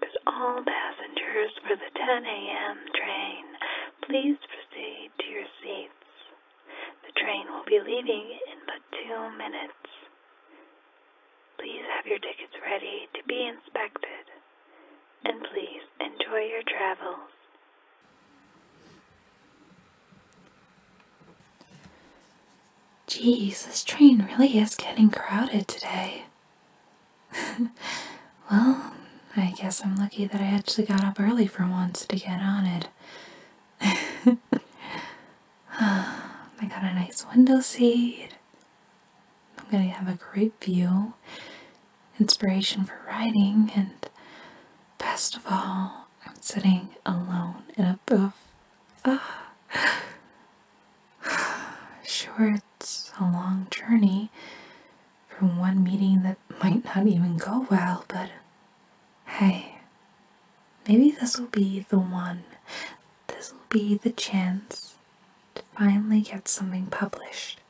Could all passengers for the 10 a.m. train please proceed to your seats? The train will be leaving in but two minutes. Please have your tickets ready to be inspected. And please enjoy your travels. Geez, this train really is getting crowded today. well, I guess I'm lucky that I actually got up early for once to get on it. I got a nice window seat. I'm gonna have a great view, inspiration for writing, and best of all, I'm sitting alone in a booth. Ah, Sure, it's a long journey from one meeting that might not even go well, but hey, maybe this will be the one. This will be the chance to finally get something published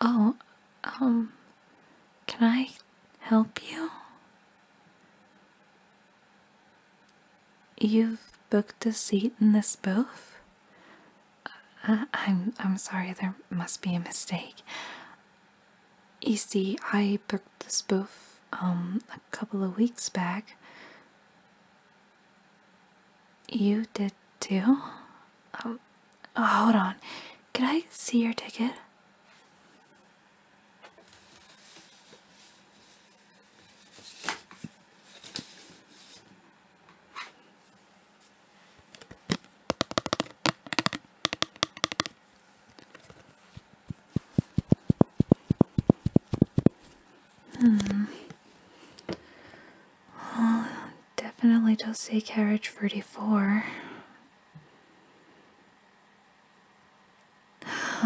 oh, um, can I help you? You've booked a seat in this booth? Uh, I'm, I'm sorry, there must be a mistake. You see, I booked this booth, um, a couple of weeks back. You did too? Um, oh, hold on. Can I see your ticket? Hmm. Well, definitely don't carriage forty-four.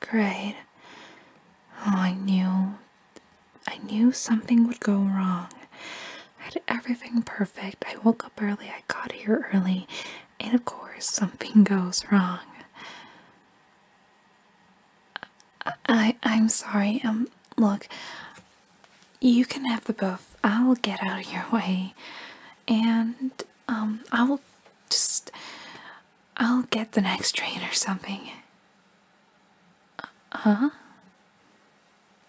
great. Oh, I knew. I knew something would go wrong. I had everything perfect. I woke up early, I got here early, and of course, something goes wrong. I I'm sorry. Um, look, you can have the both. I'll get out of your way. And, um, I'll just. I'll get the next train or something. Uh huh?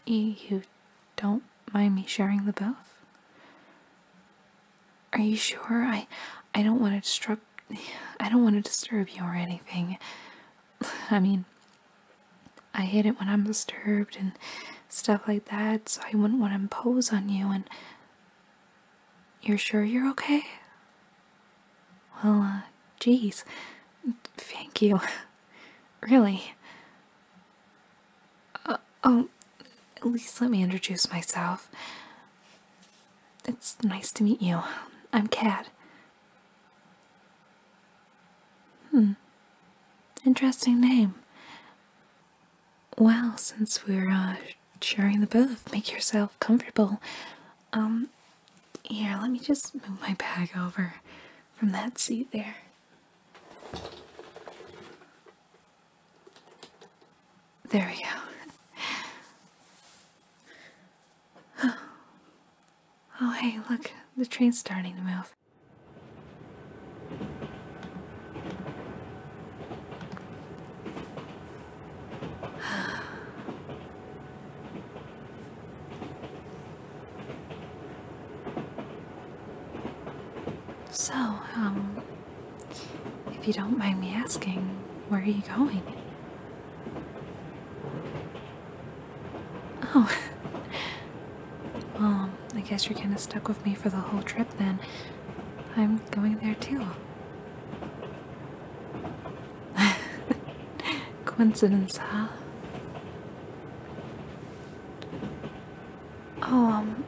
You don't mind me sharing the both? Are you sure? I. I don't want to disturb. I don't want to disturb you or anything. I mean, I hate it when I'm disturbed and stuff like that, so I wouldn't want to impose on you. And you're sure you're okay? Well, uh, geez, thank you. really. Uh, oh, at least let me introduce myself. It's nice to meet you. I'm Kat. Hmm. Interesting name. Well, since we're uh, sharing the booth, make yourself comfortable. Um, here, let me just move my bag over from that seat there. There we go. Oh, hey, look, the train's starting to move. So, um, if you don't mind me asking, where are you going? Oh. well, I guess you're kind of stuck with me for the whole trip then. I'm going there too. Coincidence, huh? Oh, um,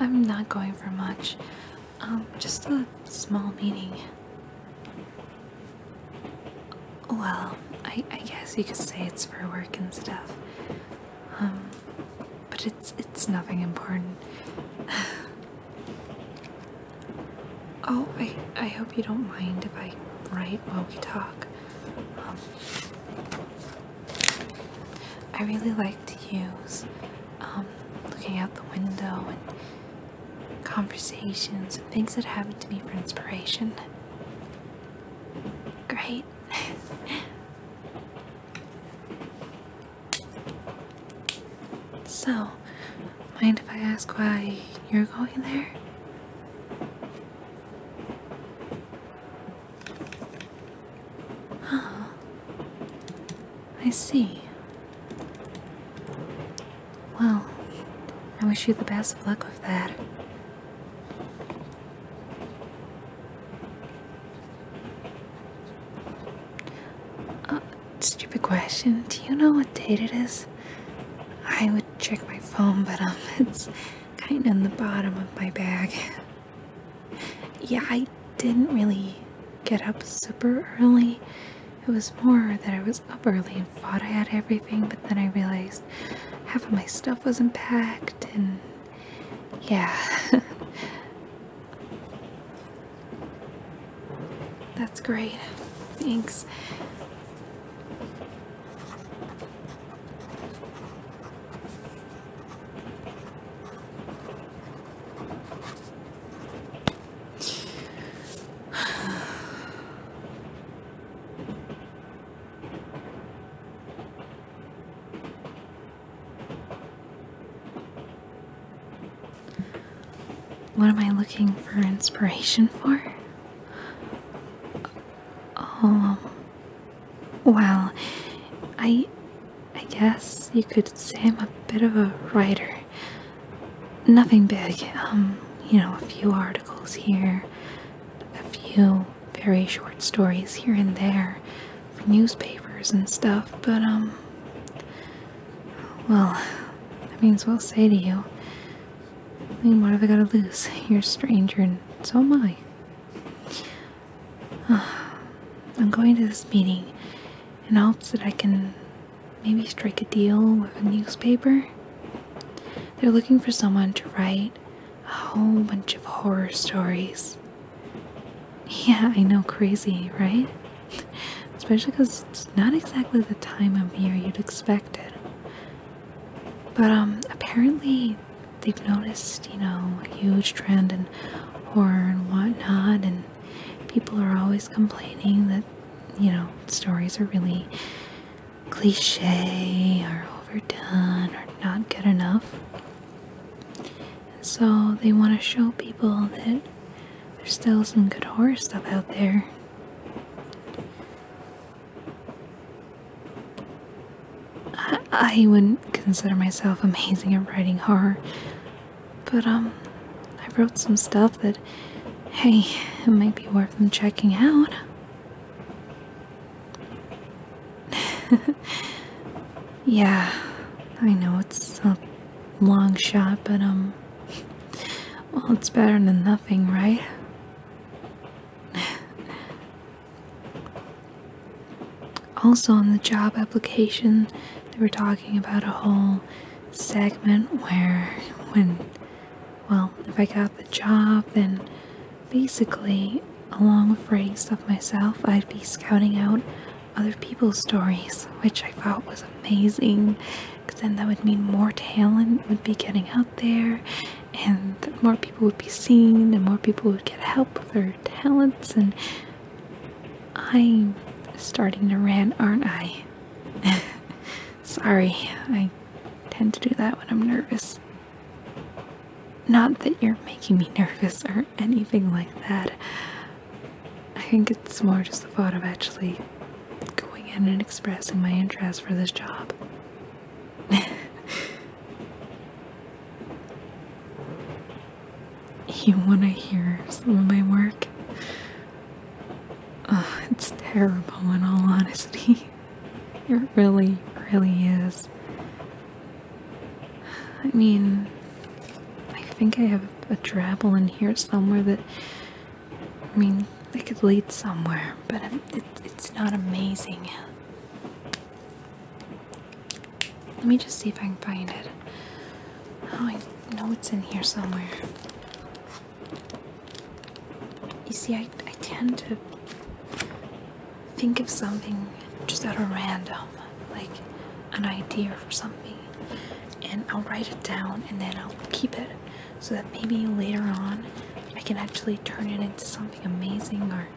I'm not going for much. Um, just a small meeting. Well, I, guess you could say it's for work and stuff. Um, but it's it's nothing important. oh, I I hope you don't mind if I write while we talk. Um, I really like to use um, looking out the window and conversations and things that happen to me for inspiration. Great. so, mind if I ask why you're going there? Oh, I see. Well, I wish you the best of luck with that. Uh, stupid question. Do you know what date it is? I would check my phone, but um, it's kind of in the bottom of my bag. Yeah, I didn't really get up super early. It was more that I was up early and thought I had everything, but then I realized half of my stuff wasn't packed, and yeah. That's great. Thanks. What am I looking for inspiration for? Oh, well, I I guess you could say I'm a bit of a writer. Nothing big, um, you know, a few articles here, a few very short stories here and there for newspapers and stuff, but, um, well, that means we'll say to you, I mean, what have I got to lose? You're a stranger, and so am I. I'm going to this meeting in hopes that I can maybe strike a deal with a newspaper. They're looking for someone to write a whole bunch of horror stories. Yeah, I know, crazy, right? Especially because it's not exactly the time of year you'd expect it. But um, apparently they've noticed, you know, a huge trend in horror and whatnot, and people are always complaining that, you know, stories are really cliche or overdone or not good enough. And so they want to show people that there's still some good horror stuff out there. I wouldn't consider myself amazing at writing horror, but um, I wrote some stuff that, hey, it might be worth them checking out. yeah, I know it's a long shot, but, um, well, it's better than nothing, right? also, on the job application, they were talking about a whole segment where, when, well, if I got the job, then Basically, along with writing stuff myself, I'd be scouting out other people's stories, which I thought was amazing because then that would mean more talent would be getting out there and more people would be seen and more people would get help with their talents. And I'm starting to rant, aren't I? Sorry, I tend to do that when I'm nervous. Not that you're making me nervous or anything like that. I think it's more just the thought of actually going in and expressing my interest for this job. you want to hear some of my work? Oh, it's terrible in all honesty. It really, really is. I mean, I think I have a drabble in here somewhere that, I mean, it could lead somewhere, but it's not amazing. Let me just see if I can find it. Oh, I know it's in here somewhere. You see, I, I tend to think of something just out of random, like an idea for something, and I'll write it down and then I'll keep it so that maybe later on I can actually turn it into something amazing or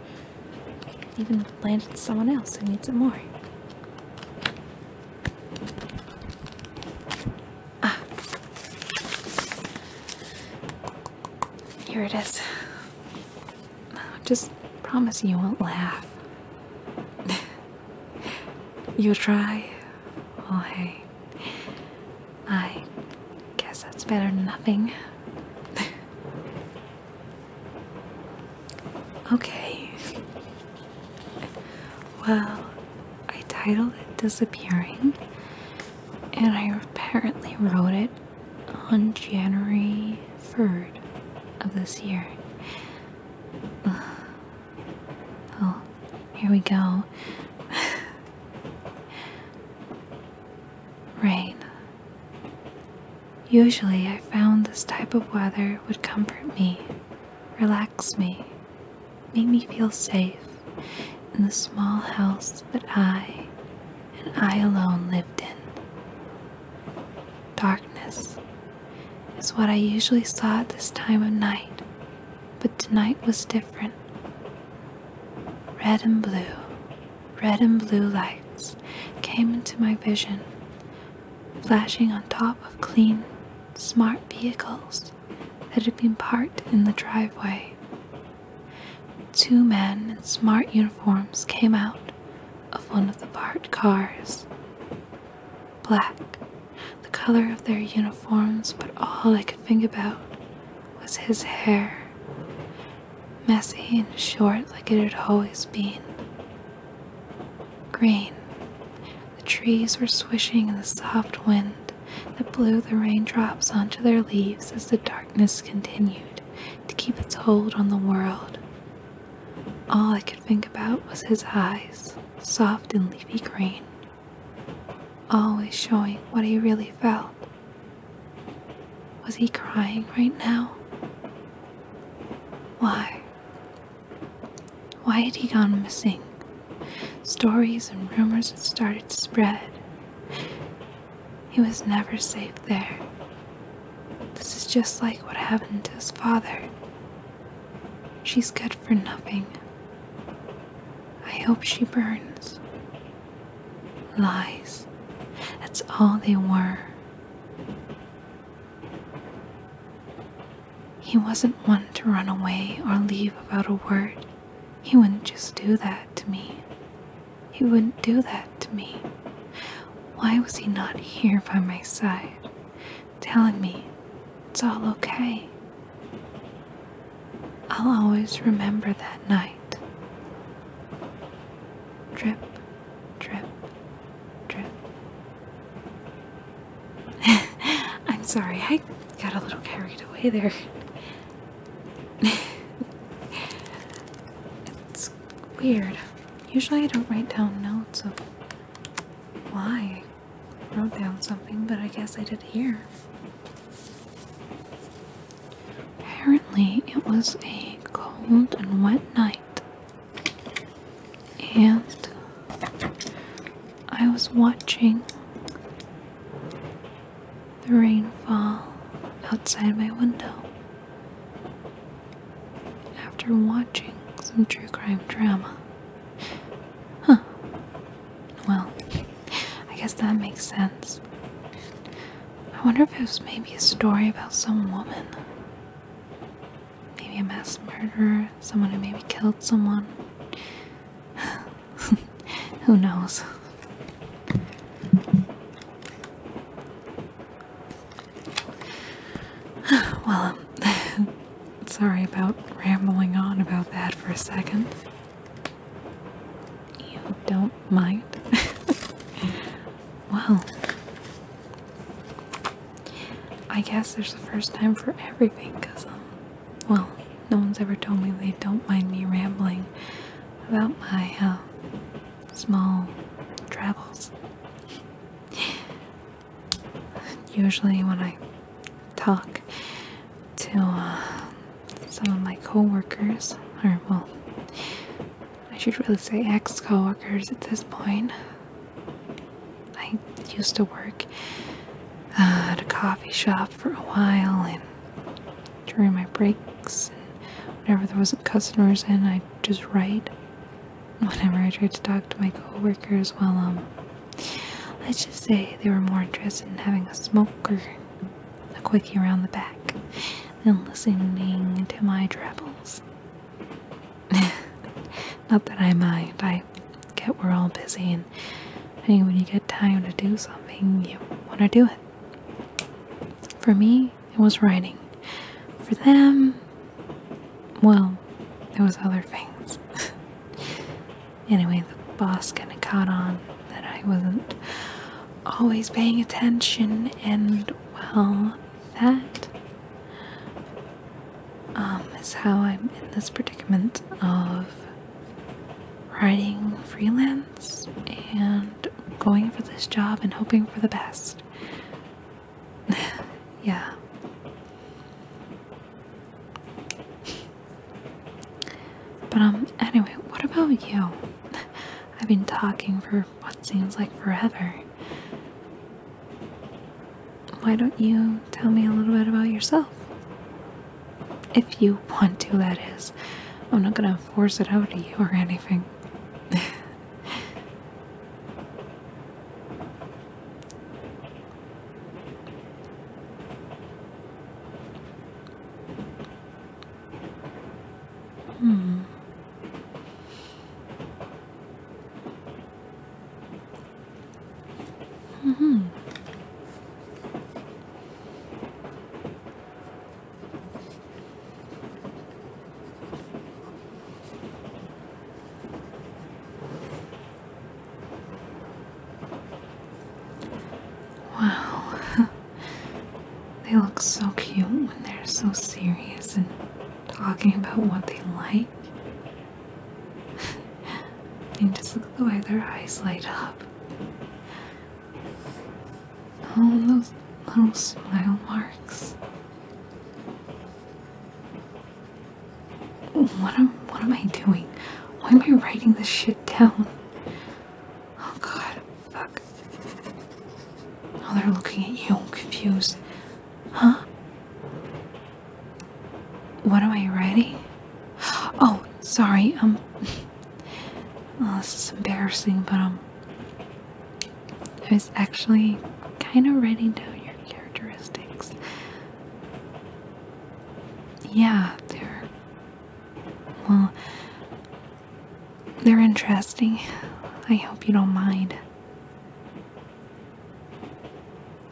even land it to someone else who needs it more. Ah. Here it is. Just promise you won't laugh. you try? Well, oh, hey. I guess that's better than nothing. okay. Well, I titled it Disappearing, and I apparently wrote it on January 3rd of this year. Oh, here we go. Rain. Usually, I found this type of weather would comfort me, relax me, make me feel safe in the small house that I and I alone lived in. Darkness is what I usually saw at this time of night, but tonight was different. Red and blue, red and blue lights came into my vision, flashing on top of clean, smart vehicles that had been parked in the driveway. Two men in smart uniforms came out of one of the parked cars. Black, the color of their uniforms, but all I could think about was his hair. Messy and short like it had always been. Green. The trees were swishing in the soft wind that blew the raindrops onto their leaves as the darkness continued to keep its hold on the world. All I could think about was his eyes, soft and leafy green, always showing what he really felt. Was he crying right now? Why? Why had he gone missing? Stories and rumors had started to spread. He was never safe there. This is just like what happened to his father. She's good for nothing. I hope she burns. Lies. That's all they were. He wasn't one to run away or leave without a word. He wouldn't just do that to me. He wouldn't do that to me. Why was he not here by my side, telling me it's all okay? I'll always remember that night. Drip, drip, drip. I'm sorry, I got a little carried away there it's weird. Usually I don't write down notes of why wrote down something, but I guess I did here. Apparently, it was a cold and wet night, and I was watching the rainfall outside my window. After watching some true crime drama. Huh. Well, I guess that makes sense. I wonder if it was maybe a story about some woman. Maybe a mass murderer, someone who maybe killed someone. Who knows? well, um, sorry about rambling on about that for a second. You don't mind? well, I guess there's the first time for everything because, um, well, no one's ever told me they don't mind me rambling about my uh, small travels. Usually, when I talk to uh, some of my coworkers, or well, I should really say ex co workers at this point. I used to work at a coffee shop for a while, and during my breaks and whenever there wasn't customers in I'd just write whenever I tried to talk to my coworkers, well um, let's just say they were more interested in having a smoke or a quickie around the back than listening to my travels. Not that I mind, I get we're all busy and when you get time to do something you wanna do it. For me, it was writing. For them, well, there was other things. anyway, the boss kind of caught on that I wasn't always paying attention, and well, that um, is how I'm in this predicament of writing freelance and going for this job and hoping for the best. yeah. But, um, anyway, what about you? I've been talking for what seems like forever. Why don't you tell me a little bit about yourself? If you want to, that is. I'm not gonna force it out of you or anything. hmm. Mm hmm. Wow, they look so cute when they're so serious and talking about what they like. and just look at the way their eyes light up. Oh, those little smile marks. What am what am I doing? Why am I writing this shit down? Oh god, fuck. Oh, they're looking at you, confused. Huh? What am I writing? Oh, sorry, um this is embarrassing, but um, I was actually kind of writing down your characteristics. Yeah, they're well, they're interesting. I hope you don't mind.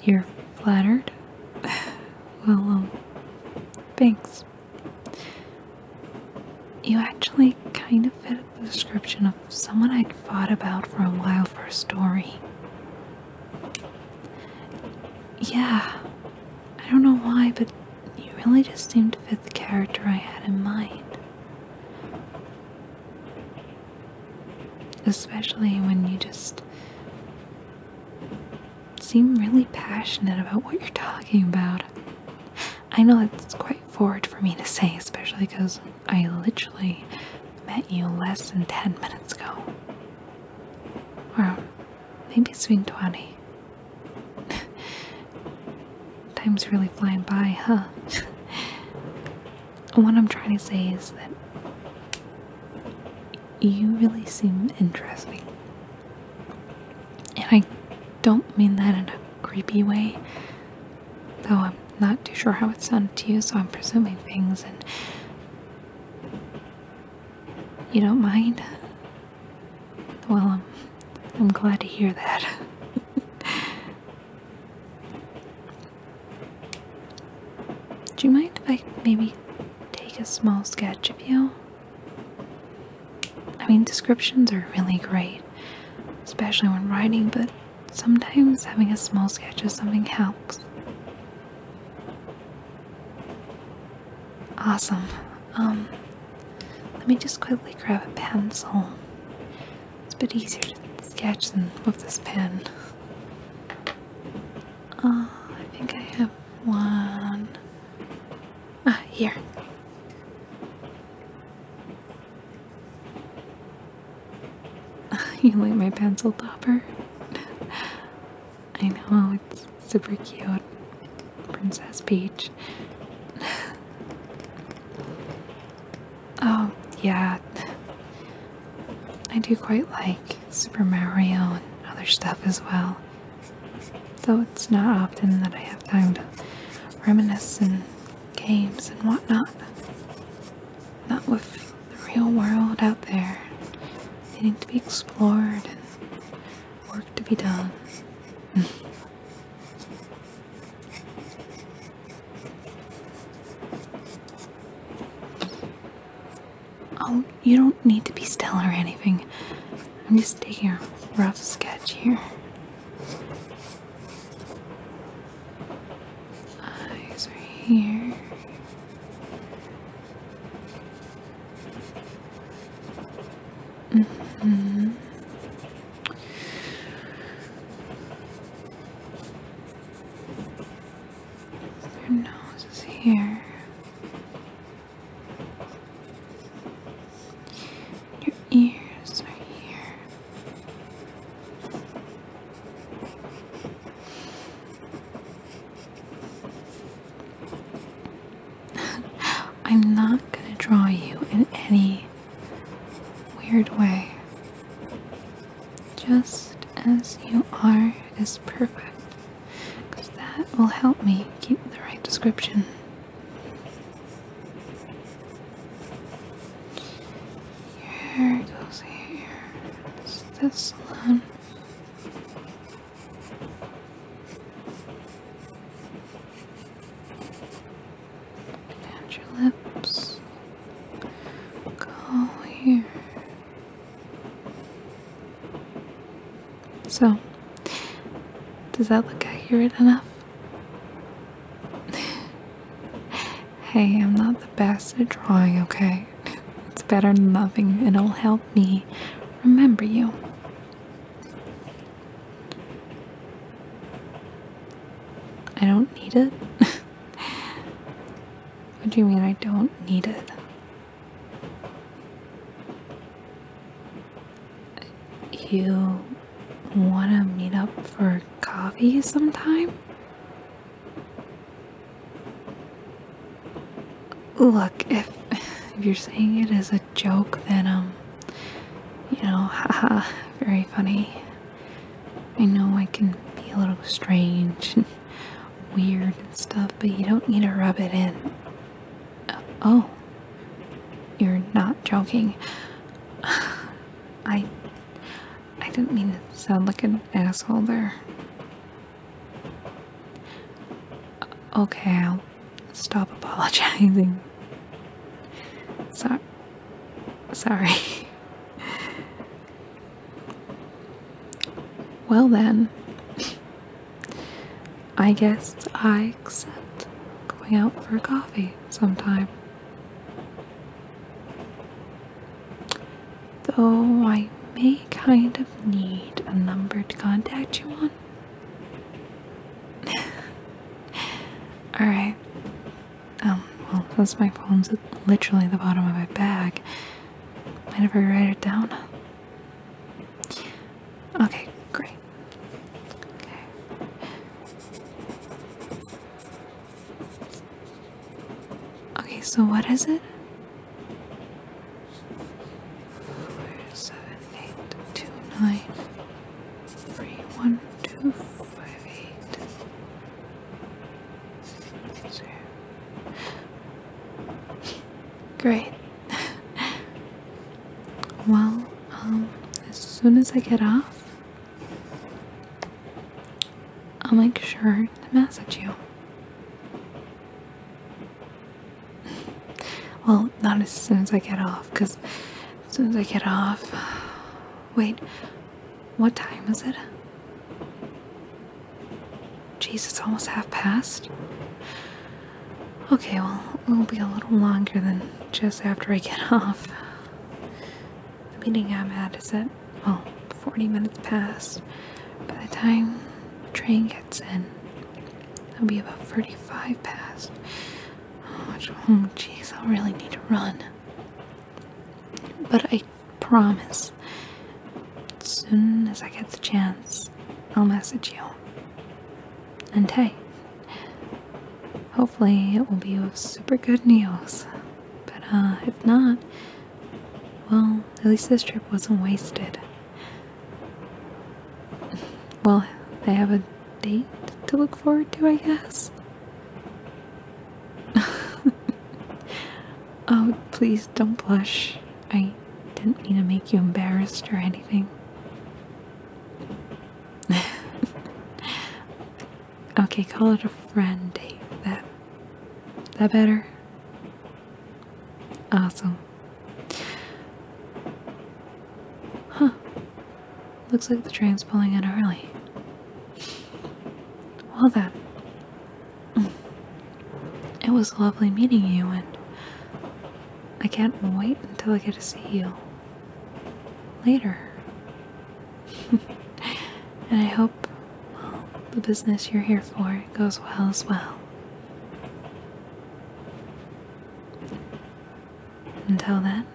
You're flattered? well, um, thanks. You actually kind of fit the description of someone I'd thought about for a while for a story. Yeah, I don't know why, but you really just seemed to fit the character I had in mind. Especially when you just seem really passionate about what you're talking about. I know it's quite forward for me to say, especially because I literally met you less than 10 minutes ago. Or maybe it's been 20. Time's really flying by, huh? what I'm trying to say is that you really seem interesting. And I don't mean that in a creepy way, though I'm not too sure how it sounded to you, so I'm presuming things and. You don't mind? Well, I'm, glad to hear that. Do you mind if I maybe take a small sketch of you? I mean, descriptions are really great, especially when writing, but sometimes having a small sketch of something helps. Awesome. Um, let me just quickly grab a pencil. It's a bit easier to sketch than with this pen. Uh, I think I have one, Ah, here. you like my pencil topper? I know, it's super cute. Princess Peach. oh, yeah. I do quite like Super Mario and other stuff as well. Though it's not often that I have time to reminisce and games and whatnot. Not with the real world out there needing to be explored and work to be done. oh, you don't need to be still or anything. I'm just taking a rough sketch here. Eyes are here. Mm mm-hmm. -hmm. Your nose is here. Your ears are here. I'm not going to draw you in any weird way. Just as you are is perfect because that will help me keep the right description. Here goes here. It's this one. your lips go here. So, does that look accurate enough? hey, I'm not the best at drawing, okay? It's better than nothing, and it'll help me remember you. I don't need it? what do you mean I don't need it? you want to meet up for coffee sometime? Look, if, if you're saying it as a joke, then, um, you know, ha ha, very funny. I know I can be a little strange and weird and stuff, but you don't need to rub it in. Uh, oh. You're not joking. I. I didn't mean to sound like an asshole there. Okay, I'll stop apologizing. So sorry. well then. I guess I accept going out for coffee sometime. Though I may kind of need a number to contact you on. Alright. Um, well, since my phone's literally the bottom of my bag, I never write it down. Okay, great. Okay. Okay. so what is it? Four, seven, eight, two, nine, Great. well, um, as soon as I get off, I'll make sure to message you. well, not as soon as I get off, because as soon as I get off. Wait, what time is it? Jeez, it's almost half past. Okay, well, it'll be a little longer than just after I get off. The meeting I'm at is at, well, 40 minutes past. By the time the train gets in, it'll be about 45 past. Oh, jeez, i really need to run. But I promise, soon as I get the chance, I'll message you and hey, hopefully it will be super good meals. But uh, if not, well, at least this trip wasn't wasted. Well, I have a date to look forward to, I guess. oh, please don't blush. I didn't mean to make you embarrassed or anything. okay, call it a friend date. That that better? Awesome. Huh. Looks like the train's pulling in early. Well then. It was lovely meeting you and I can't wait until I get to see you later. and I hope the business you're here for goes well as well. Until then.